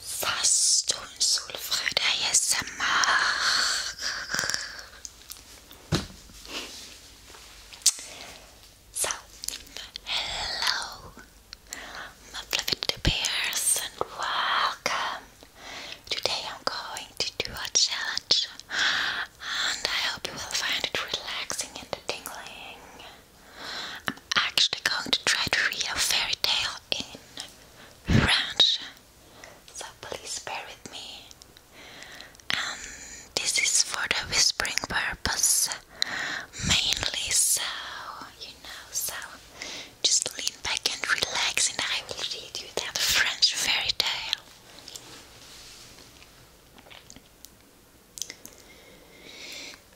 Fast och en solfröd hello, my fluffy bears, and welcome. Today I'm going to do a challenge, and I hope you will find it relaxing and tingling. I'm actually going to try to read a fairy tale in French, so please bear with me. And this is for the whispering purpose mainly, so you know, so just lean back and relax, and I will read you that French fairy tale.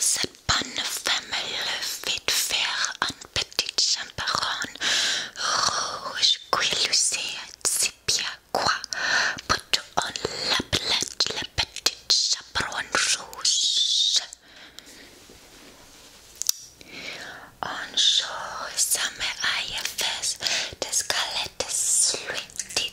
Cette bonne femme le fit faire un petit chaperon rouge qui lucait si bien quoi, but on l'appelait le petit chaperon rouge. Un jour, sa mère avait fait des galettes, lui dit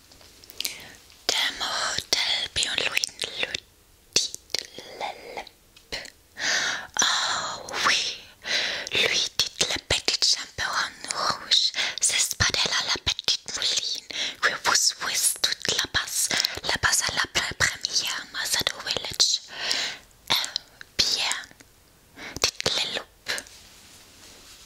Demo Delby und Louis Oh oui, lui dit le petit chaperon rouge, c'est pas de la, la petite mouline, que vous ouest toute la base, la base à la première Masado Village. Eh bien, dites le loup.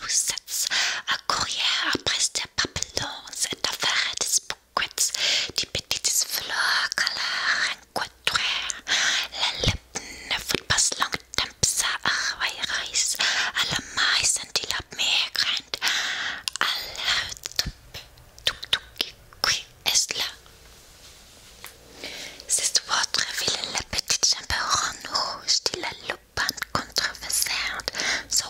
nous sets, à courir après des papillons et à faire des bouquets de petites fleurs qu'à la rencontrer. Les lippen ne fut pas longtemps ça arriverait à la maison de la mer grande. Alors, tout, tout, tout, qui est là? C'est votre ville, la petite ronde rouge de la lupine controversante. So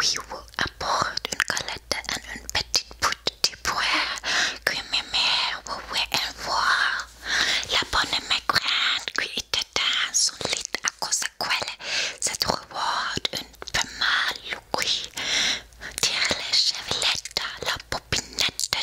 qui vous apporte une colette et une petite boute de bois que mes mères veulent voir. La bonne maigraine qui était dans son lit à cause de quoi cette reward une femelle louée. Tire les chevelettes, la popinette de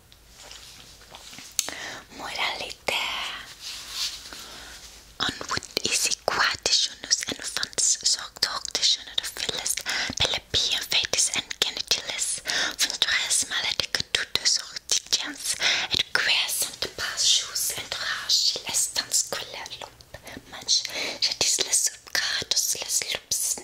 Moralité Onwood is equationus and funds sorgdortition of the phyllis, pelepia, fetis, and genitalis, fundres maledica tutus ortitians, et queers and pas shoes and rash, lestans quella lump, much, jetis les subgratus les lups,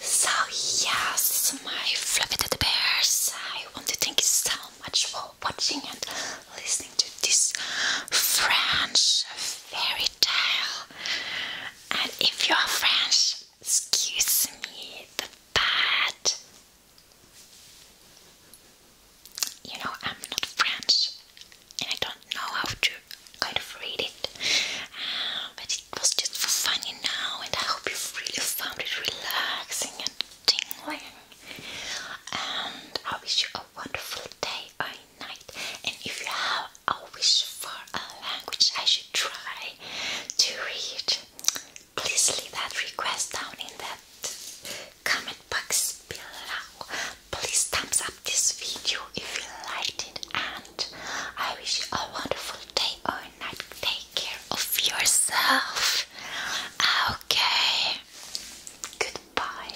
So yes, my fluffy teddy bears, I want to thank you so much for watching and listening to this French fairy tale. And if you are French, excuse me the bad. You know I'm not French, I don't know how to kind of read it, uh, but it was just for fun, And I hope you really found it relaxing and tingling. And I wish you a wonderful day or night. And if you have a wish for a language I should try to read, please leave that request down in that comment box below. Please thumbs up this video if you liked it and I wish you a wonderful day or night. Take care of yourself. Okay. Goodbye.